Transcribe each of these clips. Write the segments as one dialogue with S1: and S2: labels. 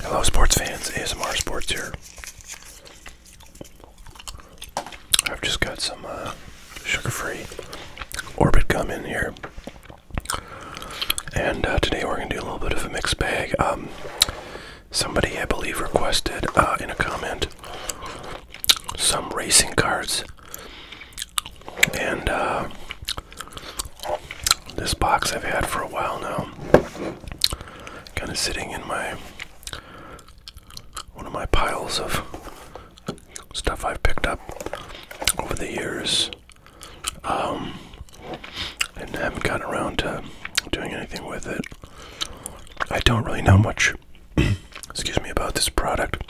S1: Hello, sports fans. ASMR Sports here. I've just got some uh, sugar-free Orbit gum in here, and uh, today we're gonna do a little bit of a mixed bag. Um, somebody, I believe, requested uh, in a comment some racing cards, and this box I've had for a while now. Kind of sitting in my one of my piles of stuff I've picked up over the years. Um, and haven't gotten around to doing anything with it. I don't really know much excuse me about this product.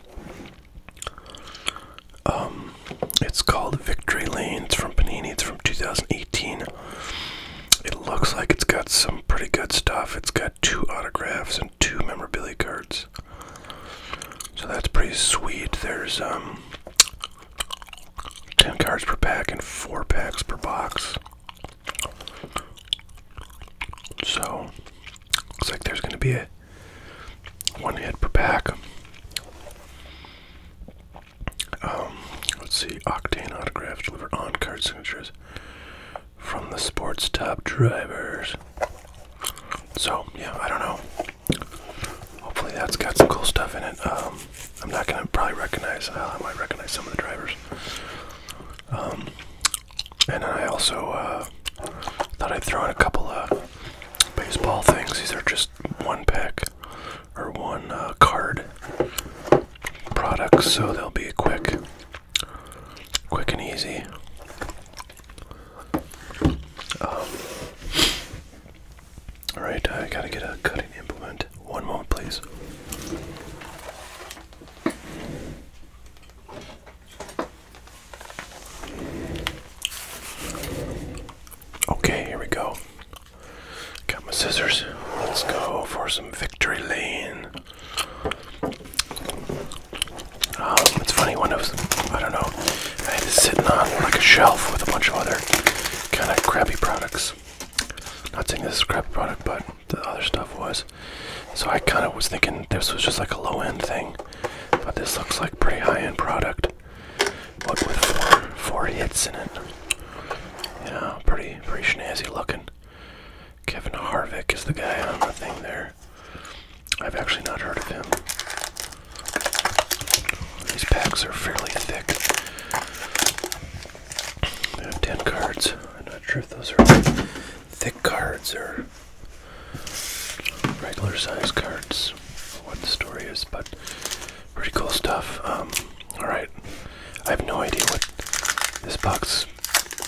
S1: Um, it's called Victory Lane. It's from Panini. It's from 2018. It looks like it's got some pretty good stuff. It's got two autographs and two memorabilia cards. So that's pretty sweet. There's um, 10 cards per pack and 4 packs per box. So, looks like there's going to be a one hit per pack. Um, let's see, Octane autographs deliver on-card signatures from the sport's top drivers. So, yeah, I don't know. Hopefully that's got some cool stuff in it. Um, I'm not gonna probably recognize, uh, I might recognize some of the drivers. Um, and then I also, uh,
S2: thought I'd throw in a couple of baseball things. These are just one pack or one uh, card
S1: product, so they'll be quick, quick and easy. Um, all right, I gotta get a cutting implement. One moment, please. Okay, here we go. Got my scissors. Let's go for some victory lane. Um, it's funny when I I don't know, I had it sitting on like a shelf with a bunch of other kind of crappy products. Not saying this is a product, but the other stuff was. So I kind of was thinking this was just like a low end thing, but this looks like pretty high end product. What with four, hits in it. Yeah, pretty pretty snazzy looking. Kevin Harvick is the guy on the thing there. I've actually not heard of him. These packs are fairly thick. They have 10 cards. I'm not sure if those are thick cards or regular size cards. What the story is, but Pretty cool stuff. Um, alright. I have no idea what this box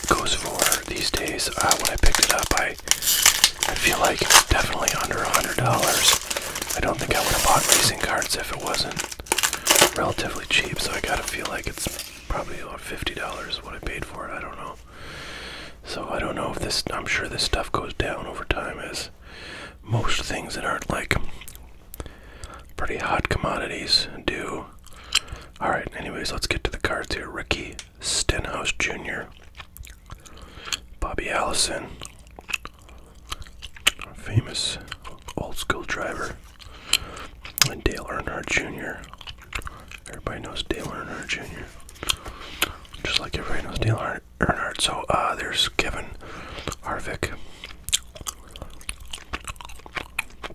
S1: goes for these days. Uh, when I picked it up, I, I feel like definitely under $100. I don't think I would have bought racing cards if it wasn't relatively cheap, so I gotta feel like it's probably about $50 what I paid for it. I don't know. So I don't know if this, I'm sure this stuff goes down over time Is most things that aren't like pretty hot commodities do. All right, anyways, let's get to the cards here. Ricky Stenhouse Jr., Bobby Allison, famous old school driver,
S2: and Dale Earnhardt Jr. Everybody knows Dale Earnhardt Jr.
S1: Just like everybody knows Dale Earnhardt. Ernard. So uh, there's Kevin Harvick.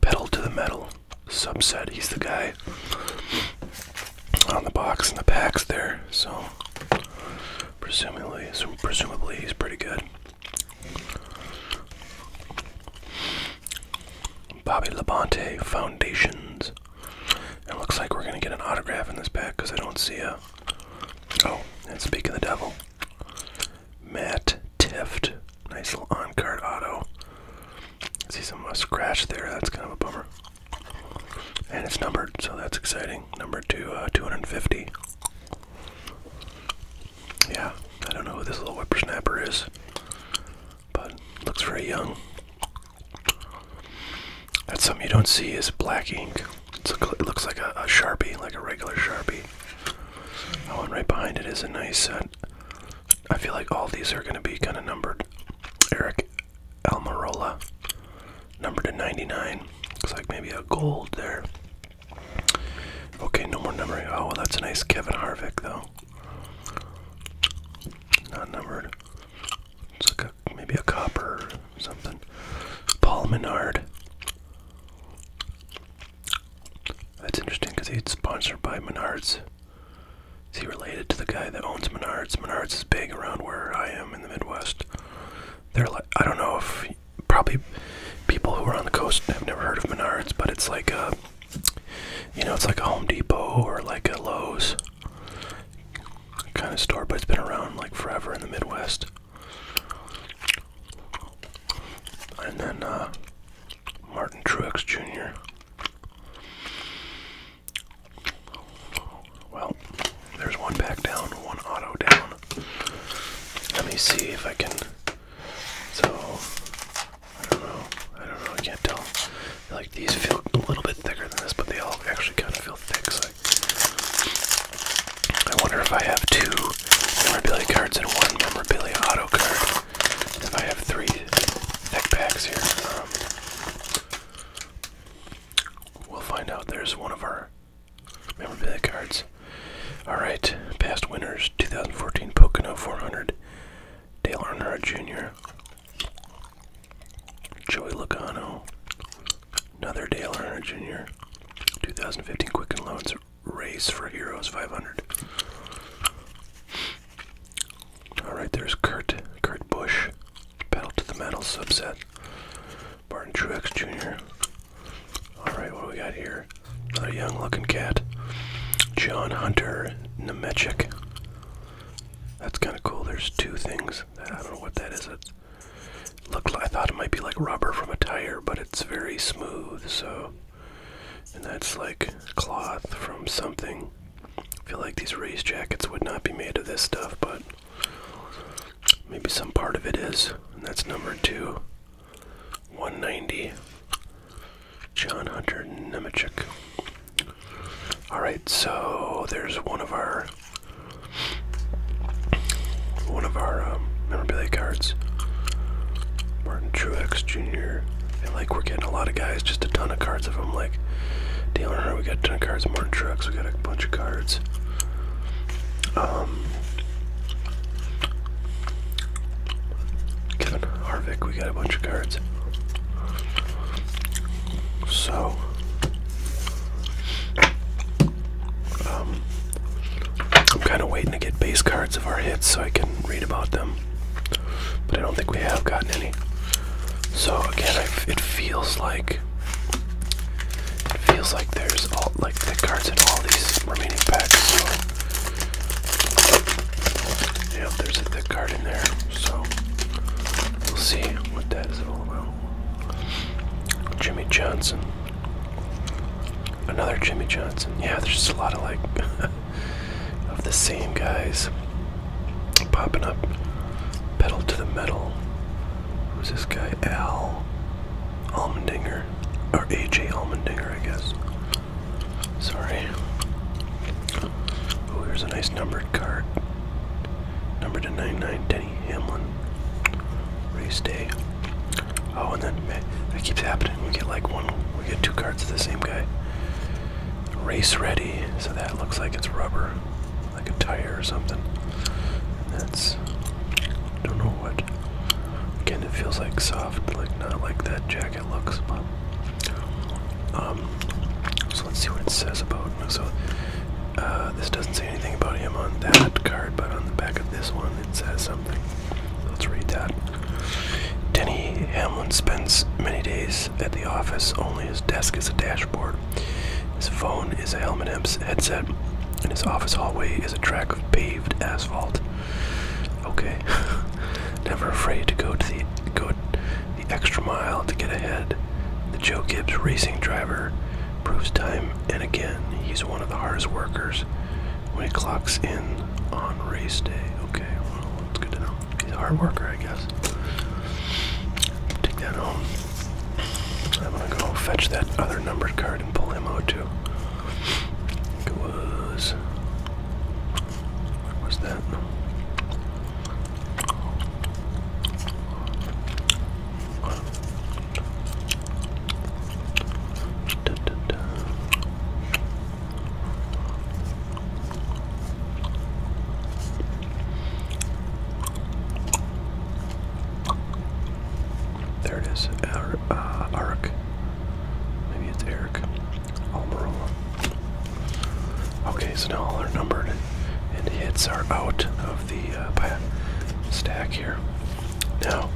S1: Pedal to the metal subset. He's the guy on the box in the packs there. So presumably, presumably he's pretty good. Bobby Labonte Foundations. It looks like we're gonna get an autograph in this pack because I don't see a Oh, and speaking of the devil, Matt Tift. Nice little on card auto. See some uh, scratch there. That's kind of a bummer. And it's numbered, so that's exciting. Number two, uh, 250. Yeah, I don't know who this little whippersnapper is, but looks very young. That's something you don't see is black ink. it looks like a, sharpie, like a regular sharpie. Oh, one right behind it is a nice. set. I feel like all these are going to be kind of numbered. Eric Almirola, number to 99. Looks like maybe a gold there. Okay, no more numbering. Oh, well, that's a nice Kevin Harvick, though. Not numbered. It's like a, maybe a copper or something. Paul Menard. That's interesting because he's sponsored by Menards. Is he related to the guy that owns Menards? Menards is big around where I am in the Midwest. They're like, I don't know if probably people who are on the coast have never heard of Menards, but it's like a, you know, it's like a Home Depot or like a Lowe's kind of store, but it's been around like forever in the Midwest. And then uh, Martin Truex Jr. Well, there's one back down, one auto down. Let me see if I can. So,
S2: I don't know. I don't know. I can't tell. Like these feel a little bit
S1: thicker than this, but they all actually kind of feel thick. So I wonder if I have two memorabilia cards and one memorabilia auto card. If I have three deck packs here, um, we'll find out. There's one of our memorabilia cards. All right, past winners: 2014 Pocono 400, Dale Earnhardt Jr., Joey Logano, Another Dale Earnhardt Jr. 2015 Quicken Loans Race for Heroes 500. All right, there's Kurt, Kurt Busch, Pedal to the Metal subset. Barton Truex Jr. All right, what do we got here? Another young-looking cat. John Hunter Nemechek. That's kind of cool. There's two things. I don't know what that is. Looked like I thought it might be like rubber from a tire, but it's very smooth, so and that's like cloth from something. I feel like these race jackets would not be made of this stuff, but maybe some part of it is. And that's number two. 190. John Hunter Nemechek. Alright, so there's one of our one of our um, memorabilia cards. Martin Truex Jr. like we're getting a lot of guys, just a ton of cards of them. Like Dale Earnhardt, we got a ton of cards. Martin Truex, we got a bunch of cards. Um, Kevin Harvick, we got a bunch of cards. So um, I'm kind of waiting to get base cards of our hits so I can read about them, but I don't think we have gotten any. So again, it feels like it feels like there's all like the cards in all these remaining packs. So yep, there's a thick card in there. So we'll see what that is all about. Jimmy Johnson. Another Jimmy Johnson. Yeah, there's just a lot of like of the same guys popping up. Pedal to the metal. Who's this guy? Al Almondinger? Or AJ Almondinger, I guess. Sorry. Oh, here's a nice numbered card.
S2: Numbered to 99, Cincinnati, Hamlin, race day. Oh, and then that keeps happening. We get like one, we get two cards of the same guy. Race ready, so that looks like it's rubber, like a tire or
S1: something. And that's, don't know what. Again, it feels like soft, like not like that jacket looks, but. Um, so let's see what it says about. So, uh, uh, this doesn't say anything about him on that card, but on the back of this one it says something. Let's read that. Denny Hamlin spends many days at the office. Only his desk is a dashboard. His phone is a helmet headset, and his office hallway is a track of paved asphalt. Okay. Never afraid to go to the go the extra mile to get ahead. The Joe Gibbs racing driver Proves time and again he's one of the hardest workers when he clocks in on race day. Okay, well, that's good to know. He's a hard worker, I guess. Take that home. I'm gonna go fetch that other numbered card and pull him out too. It was. What was that? There it is, Eric. Uh, Maybe it's Eric. Almirola. Okay, so now all our numbered and hits are out of the uh, stack here. Now,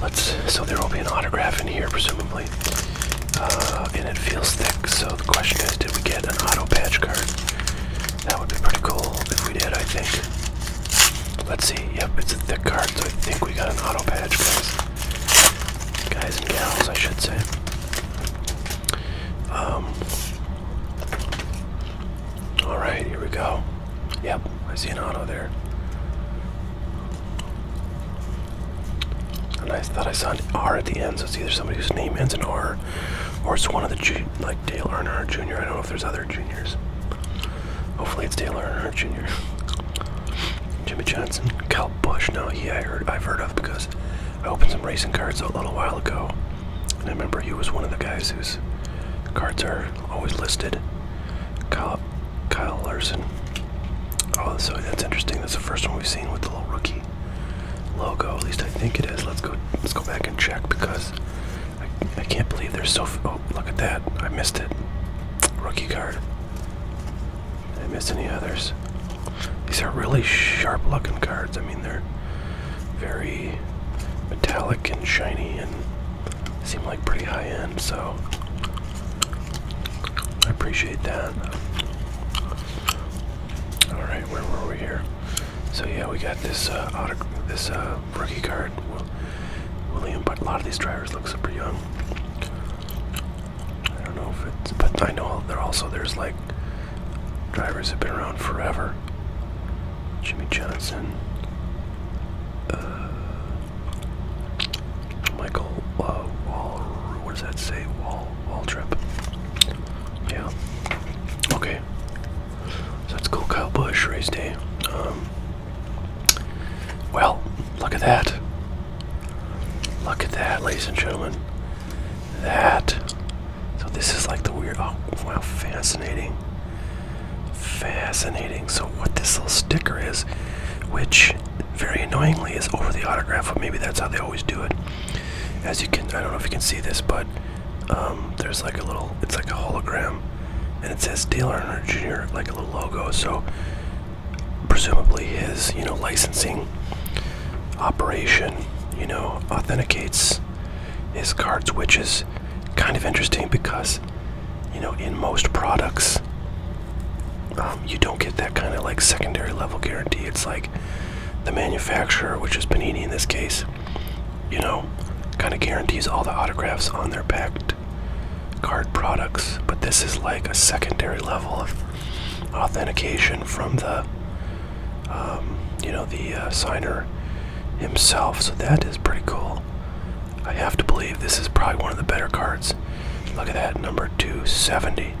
S1: let's. So there will be an autograph in here, presumably, uh, and it feels thick. So the question is, did we get an auto patch card? That would be pretty cool if we did. I think. Let's see. Yep, it's a thick card, so I think we got an auto patch, guys. Guys and gals, I should say. Um, all right, here we go. Yep, I see an auto there. And I thought I saw an R at the end, so it's either somebody whose name ends in R, or it's one of the G like Dale Earnhardt Jr. I don't know if there's other juniors. Hopefully it's Dale Earnhardt Jr. Jimmy Johnson, Cal Bush. Now he I heard I've heard of because I opened some racing cards a little while ago. I remember he was one of the guys whose cards are always listed. Kyle, Kyle Larson. Oh, so that's interesting. That's the first one we've seen with the little rookie logo. At least I think it is. Let's go. Let's go back and check because I, I can't believe there's so. Oh, look at that! I missed it. Rookie card. Did I miss any others? These are really sharp-looking cards. I mean, they're very metallic and shiny and seem like pretty high end, so I appreciate that. Alright, where were we here? So yeah, we got this uh, auto, this uh, rookie card, William. But a lot of these drivers look super young. I don't know if it's, but I know they're also there's like drivers have been around forever. Jimmy Johnson, uh, Michael uh, Wall. What does that say? Wall Wall Trip. Yeah. Okay. So that's cool. Kyle Bush race day. Um, well, look at that. Look at that, ladies and gentlemen. That so this is like the weird. Oh, wow, fascinating. Fascinating. So what this little sticker is, which very annoyingly is over the autograph, but maybe that's how they always do it. As you can, I don't know if you can see this, but um, there's like a little. It's like a hologram, and it says Dale Earnhardt Jr. like a little logo. So presumably his, you know, licensing operation, you know, authenticates is cards, which is kind of interesting because, you know, in most products, um, you don't get that kind of like secondary level guarantee. It's like the manufacturer, which is Panini in this case, you know, kind of guarantees all the autographs on their packed card products. But this is like a secondary level of authentication from the um, you know, the uh, signer himself. So that is pretty cool. I have to believe this is probably one of the better cards. Look at that, number 270.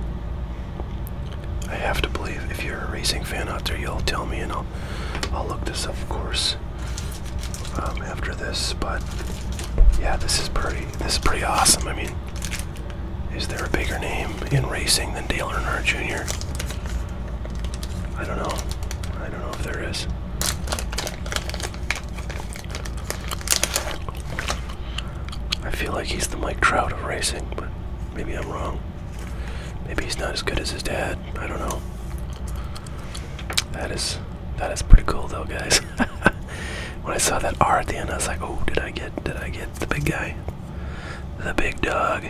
S1: I have to believe if you're a racing fan out there, you'll tell me, and I'll I'll look this up, of course, um, after this. But yeah, this is pretty this is pretty awesome. I mean, is there a bigger name in racing than Dale Earnhardt Jr.? I don't know. I don't know if there is. I feel like he's the Mike Trout of racing, but maybe I'm wrong. Maybe he's not as good as his dad. I don't know. That is that is pretty cool though, guys. when I saw that R at the end, I was like, "Oh, did I get? Did I get the big guy? The big dog?"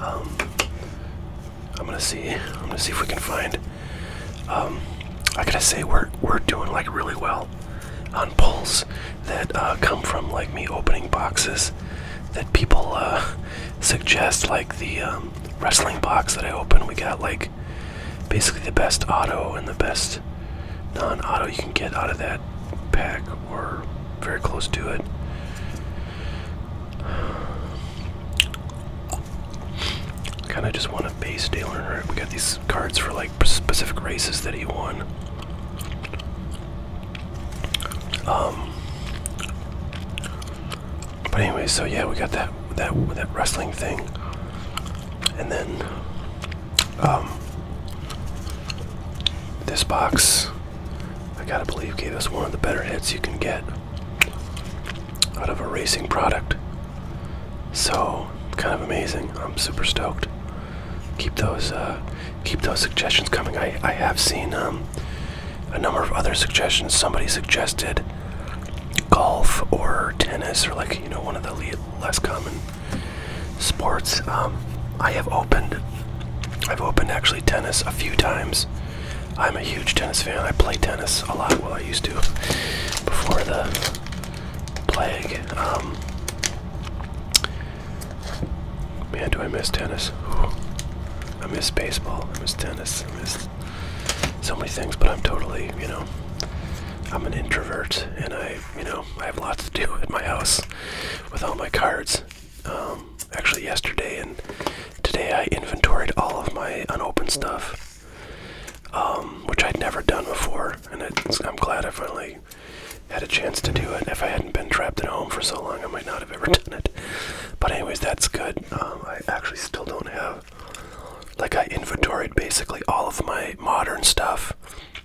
S1: Um, I'm gonna see. I'm gonna see if we can find. Um, I gotta say we're we're doing like really well on pulls that uh, come from like me opening boxes that people uh, suggest, like the um, wrestling box that I open, We got like basically the best auto and the best non-auto you can get out of that pack, or very close to it kind of just want a base dealer, right? We got these cards for like specific races that he won. Um. But anyway, so yeah, we got that that that wrestling thing, and then um, this box I gotta believe gave us one of the better hits you can get out of a racing product. So kind of amazing. I'm super stoked. Keep those uh, keep those suggestions coming. I I have seen um,
S2: a number of other suggestions. Somebody suggested golf or tennis or like you know one of the less common sports. Um, I have opened I've opened actually tennis a few times I'm a huge tennis fan. I play tennis a
S1: lot. Well, I used to before the plague. Um, man, do I miss tennis? I miss baseball. I miss tennis. I miss so many things. But I'm totally, you know, I'm an introvert, and I, you know, I have lots to do at my house with all my cards. Um, actually yesterday and today I inventoried all of my unopened stuff, um, which I'd never done before, and I'm glad I finally had a chance to do it. If I hadn't been trapped at home for so long, I might not have ever done it. But anyways, that's good. Um, I actually still don't have, like I inventoried basically all of my modern stuff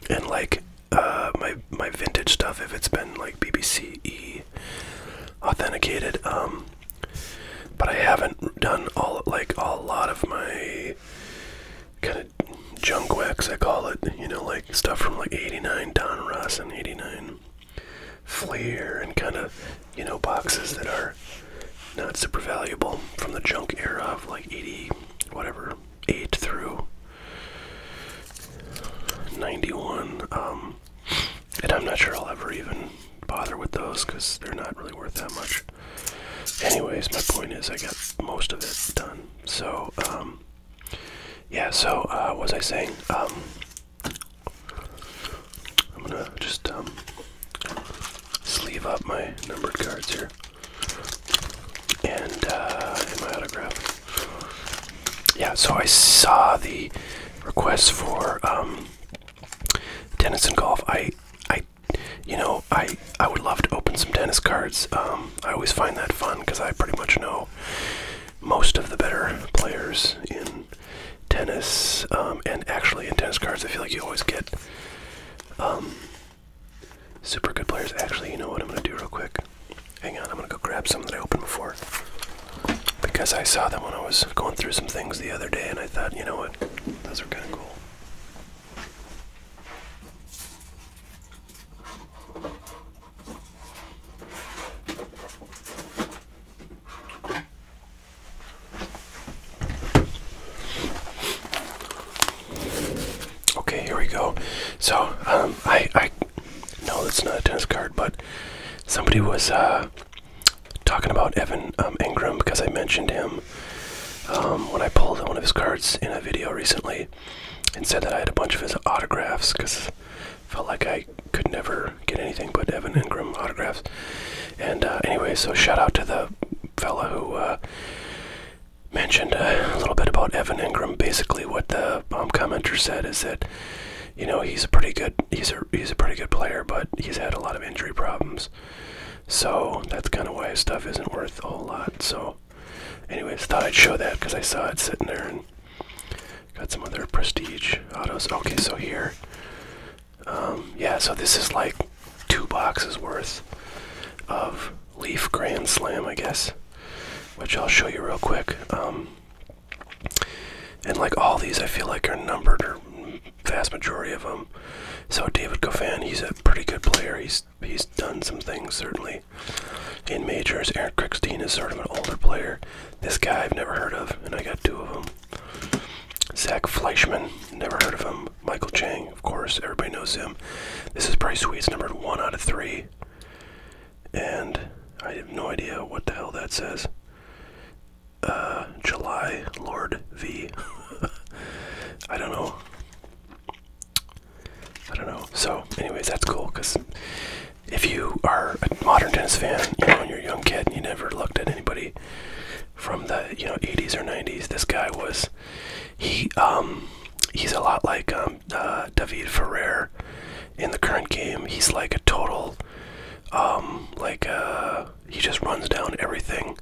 S1: and like uh, my my vintage stuff if it's been like BBC authenticated. Um, but I haven't done all like a lot of my kind of junk wax, I call it. You know, like stuff from like '89 Don Ross and '89 Flair, and kind of you know boxes that are not super valuable from the junk era of like '80 whatever eight through '91. Um, and I'm not sure I'll ever even bother with those because they're not really worth that much. Anyways, my point is I got most of it done. So, um, yeah, so uh, what was I saying? Um, I'm gonna just um, sleeve up my numbered cards here. And uh, and my autograph yeah, so I saw the request for
S2: um, tennis and golf. I, I, you know, I I would love to open some tennis cards. Um, I always find that fun
S1: because I pretty much know most of the better players in tennis. Um, and actually, in tennis cards, I feel like you always get super good players. Actually, you know what I'm gonna do real quick. Hang on, I'm gonna go grab some that I opened before. Because I saw them when I was going through some things the other day and I thought, you know what, those are gonna cool. Okay, here we go. So, um, I, I no, that's not a tennis card, but somebody was uh, talking about Evan um, Ingram because I mentioned him um, when I pulled one of his cards in a video recently and said that I had a bunch of his autographs because felt like I could never get anything but Evan Ingram autographs. And uh, anyway, so shout out to the
S2: fella who uh, mentioned a little bit about Evan Ingram. Basically,
S1: what the um, commenter said is that you know he's a pretty good he's a he's a pretty good player, but he's had a lot of injury problems. So that's kind of why his stuff isn't worth a whole lot. So, anyways, thought I'd show that because I saw it sitting there and got some other prestige autos. Okay, so here, um, yeah, so this is like two boxes worth of Leaf Grand Slam, I guess, which I'll show you real quick. Um, and like all these, I feel like are numbered or vast majority of them. So David Goffin, he's a pretty good player. He's he's done some things certainly in majors. Aaron Crickstein is sort of an older player. This guy I've never heard of, and I got two of them. Zach Fleischman, never heard of him. Michael Chang, of course, everybody knows him. This is Bryce Sweet's numbered one out of three and I have no idea what the hell that says. Uh, July Lord V. I don't know. I don't know. So, anyways, that's cool because if you are a modern tennis fan, you know, and you're a young kid and you never looked at anybody from the you know 80s or 90s, this guy was he um he's a lot like um, uh, David Ferrer in the current game, he's like a total, um, like, uh, he just runs down everything.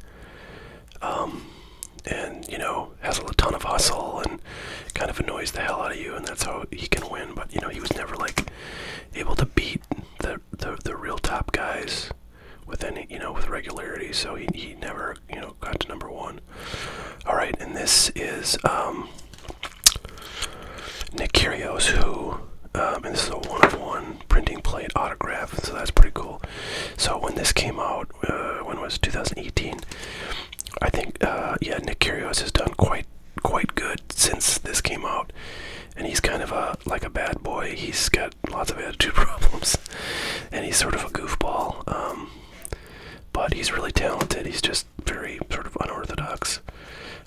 S1: Um, and, you know, has a ton of hustle and kind of annoys the hell out of you, and that's how he can win. But, you know, he was never, like, able to beat the, the, the real top guys with any, you know, with regularity, so he, he never, you know, got to number one. All right, and this is, um, Nick Curios, who, um, and this is a one of one printing plate autograph, so that's pretty cool. So when this came out, uh, when was 2018? I think, uh, yeah, Nick Curios has done quite quite good since this came out, and he's kind of a like a bad boy. He's got lots of attitude problems, and he's sort of a goofball. Um, but he's really talented. He's just very sort of unorthodox.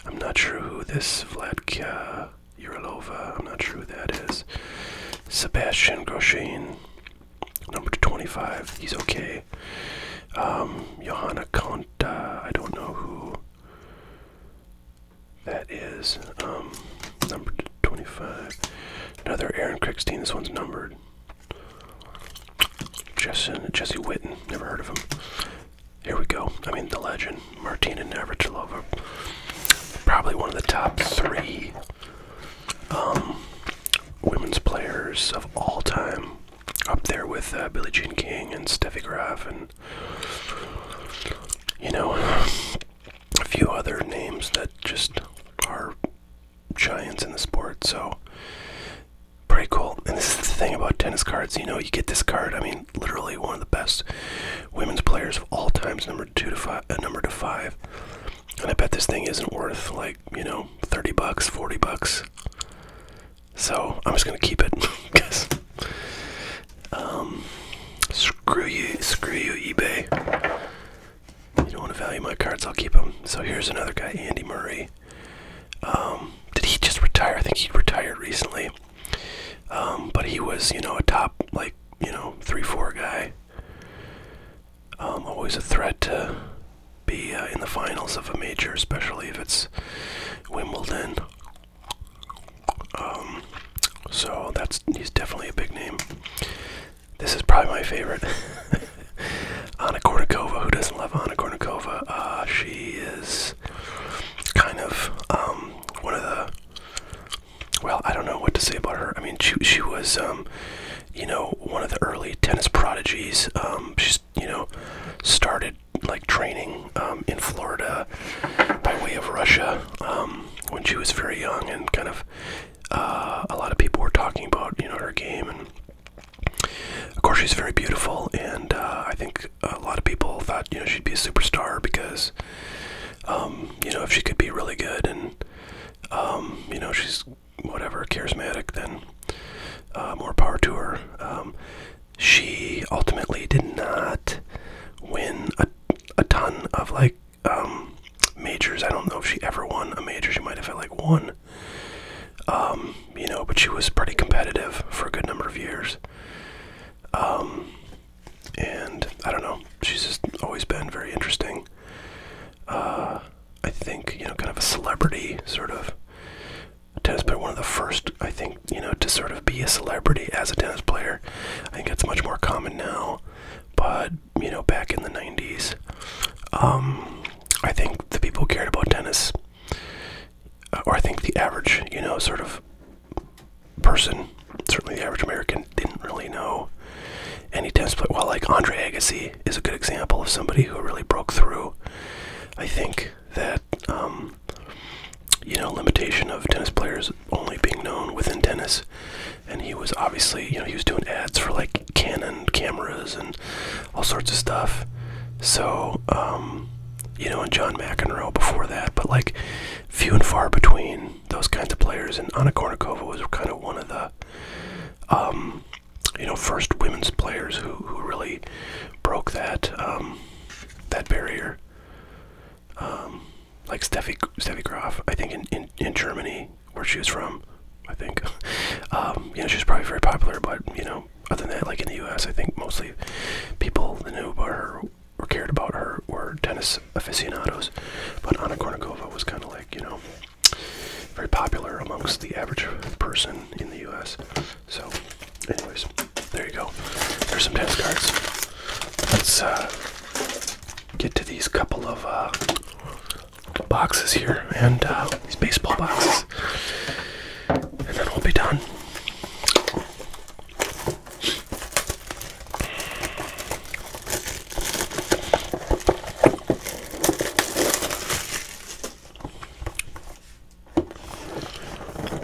S1: I'm not sure who this Vladka Urilova, I'm not sure who that is. Sebastian Grosjean, number 25, he's okay. Um, Johanna Conta, I don't know who that is. Um, number 25. Another Aaron Crickstein, this one's numbered. Jesse, Jesse Witten, never heard of him here we go. I mean, the legend, Martina Navratilova. Probably one of the top three um, women's players of all time. Up there with uh, Billie Jean King and Steffi Graf and, you know, a few other names that just are giants in the sport. So Pretty cool. And this is the thing about tennis cards. You know, you get this card. I mean, literally one of the best women's players of all times, number two to five, a uh, number to five. And I bet this thing isn't worth like you know, thirty bucks, forty bucks. So I'm just gonna keep it, because um, screw you, screw you, eBay. You don't want to value my cards. I'll keep them. So here's another guy, Andy Murray. Um, did he just retire? I think he retired recently. Um, but he was, you know, a top, like, you know, 3 4 guy. Um, always a threat to be uh, in the finals of a major, especially if it's Wimbledon. so that's he's definitely a big name. This is probably my favorite. Anna Kournikova. Who doesn't love Anna Kournikova? Uh, she is kind of um, one of the. Well, I don't know what to say about her. I mean, she she was, um, you know, one of the early tennis prodigies. Um, she's you know started like training um, in Florida by way of Russia when she was very young, and kind of uh, a lot of people were talking about you know her game and of course, she's very beautiful, and uh, I think a lot of people thought you know she'd be a superstar because um, you know if she could be really good and um, you know she's
S2: whatever charismatic, then uh, more power to her. Um,
S1: she ultimately did not win a, a ton of like majors. I don't know if she ever won a major. She might have had like one you know, but she was pretty competitive for a good number of years. Um, and I don't know, she's just always been very interesting. Uh, I think, you know, kind of a celebrity sort of tennis player, one of the first, I think, you know, to sort of be a celebrity as a tennis player. I think it's much more common now, but, you know, back in the 90s, um, I think the people cared about tennis uh, or I think the average, you know, sort of person, certainly the average American, didn't really know any tennis player. like Andre Agassi is a good example of somebody who really broke through. I think that, um, you know, limitation of tennis players only being known within tennis. And he was obviously, you know, he was doing ads for like Canon cameras and all sorts of stuff. So, um, you know, and John McEnroe before that, but like few and far between those kinds of players. And Anna Kournikova was kind of one of the, um, you know, first women's players who, who really broke that um, that barrier. like Steffi Steffi Graf, I think in, in, Germany where she was from, I think. you know, she was probably very popular, but you know, other than that, like in the U.S., I think mostly people that knew her or cared about her were tennis aficionados. But Anna Kournikova was kind of like, you know, very popular amongst the average person in the U.S. So, anyways, there you go. There's some tennis cards. Let's uh, get to these couple of uh, boxes here and uh, these baseball boxes. And then we'll be done.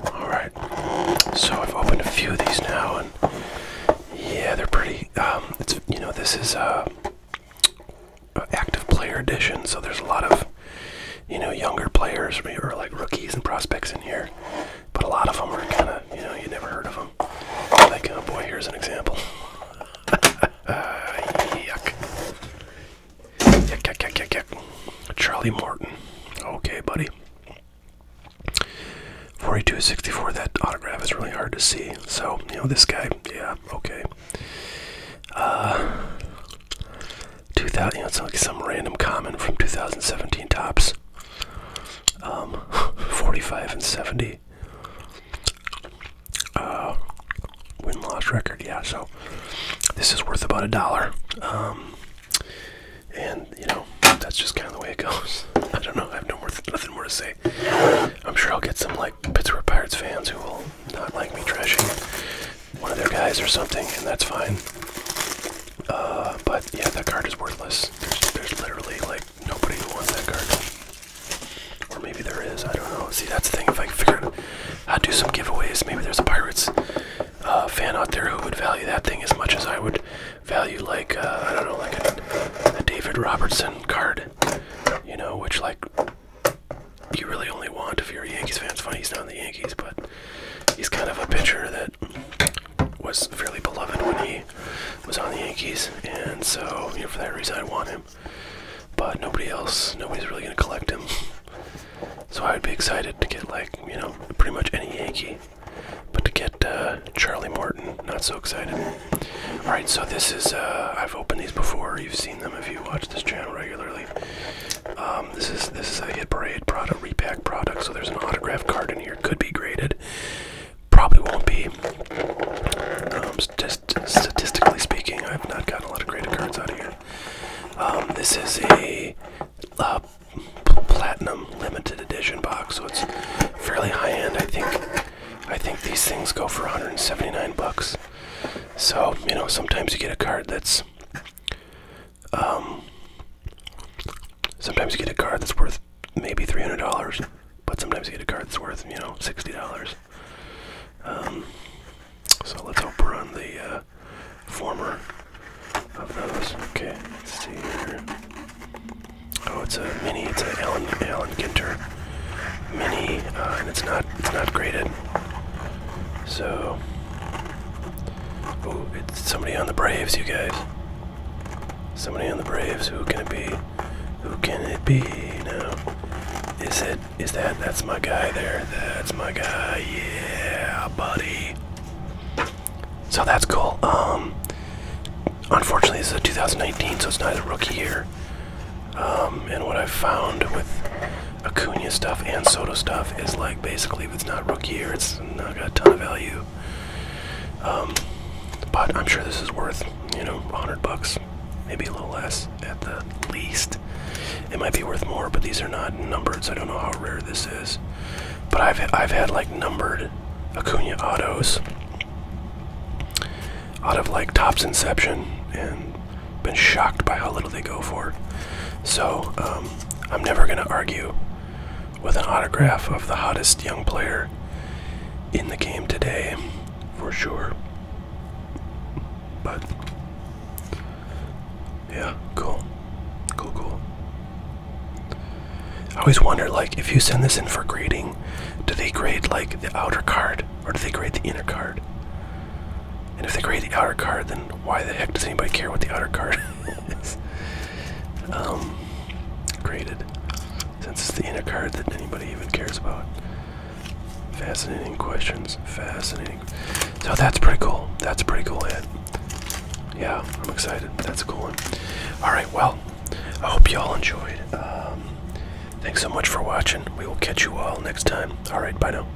S1: Alright, so I've opened a few of these now, and yeah, they're pretty. Um, it's you know, this is a uh, uh, active player edition, so there's a lot of you know, younger players or like rookies and prospects in here. But a lot of them are kind of, you know, you never heard of them. Like, oh boy, here's an example. yuck. Yuck, yuck, yuck, yuck, Charlie Morton. Okay, buddy. 42 64, that autograph is really hard to see. So, you know, this guy, yeah, okay. Uh, 2000, you it's like some random comment from 2017 tops. Um, 45 and 70. Uh, win loss record, yeah. So this is worth about a dollar. Um, and you know, that's just kind of the way it goes. I don't know. I have no more nothing more to say. I'm sure I'll get some like Pittsburgh Pirates fans who will not like me trashing one of their guys or something, and that's fine. Uh, but yeah, that card is worthless. There's, there's literally like nobody who wants that card. Or maybe there is. I don't know. See, that's the thing. If I can figure out how to do some giveaways, maybe there's a Pirates uh, fan out there who would value that thing as much as I would value like uh, I don't know, like a David Robertson card. You know, which like you really only want if you're a Yankees fan. It's funny he's not in the Yankees, but he's kind of a pitcher that was fairly beloved when he was on the Yankees, and so you know for that reason I want him. But nobody else, nobody's really gonna collect him. So I would be excited to get like you know pretty much any Yankee, but to get uh, Charlie Morton, not so excited. All right, so this is uh, I've opened these before. You've seen them if you watch this channel regularly. Um, this is this is a hit parade product, repack product. So there's an autograph card in here. Could be graded. Probably won't be. Um, just statistically speaking, I've not gotten a lot of graded cards out of here. Um, this is a uh, platinum limited edition box, so it's fairly high end. I think I think these things go for 179 bucks. So you know, sometimes you get a card that's um, sometimes you get a card that's worth maybe three hundred dollars, but sometimes you get a card that's worth you know sixty dollars. Um, so let's hope we're on the uh, former of those. Okay, let's see here. Oh, it's a mini. It's an Alan Alan Ginter mini, uh, and it's not it's not graded. So Oh, it's somebody on the Braves, you guys. Somebody on the Braves. Who can it be? Who can it be now? Is it? Is that? That's my guy there. That's my guy. Yeah, buddy. So that's cool. Um, unfortunately, this is a 2019, so it's not a rookie year. Um, and what i found with Acuna stuff and Soto stuff is like basically if it's not rookie year, it's not got a ton of value. Um, but I'm sure this is worth you know 100 bucks, maybe a little less at the least. It might be worth more, but these are not numbered, so I don't know how rare this is. But I've I've had like numbered Acuna autos out of like Top's Inception and been shocked by how little they go for. So um, I'm never going to argue with an autograph of the hottest young player in the game today, for sure. But yeah, cool, cool, cool. I always wonder, like, if you send this in for grading, do they grade like the outer card or do they grade the inner card? And if they grade the outer card, then why the heck does anybody care what the outer card is? Um, Since it's the inner card that anybody even cares about. Fascinating questions. Fascinating. So that's pretty cool. That's a pretty cool hit. Yeah, I'm excited. That's a cool one. Alright, well, I hope you all enjoyed. Um, thanks so much for watching. We will catch you all next time. Alright, bye now.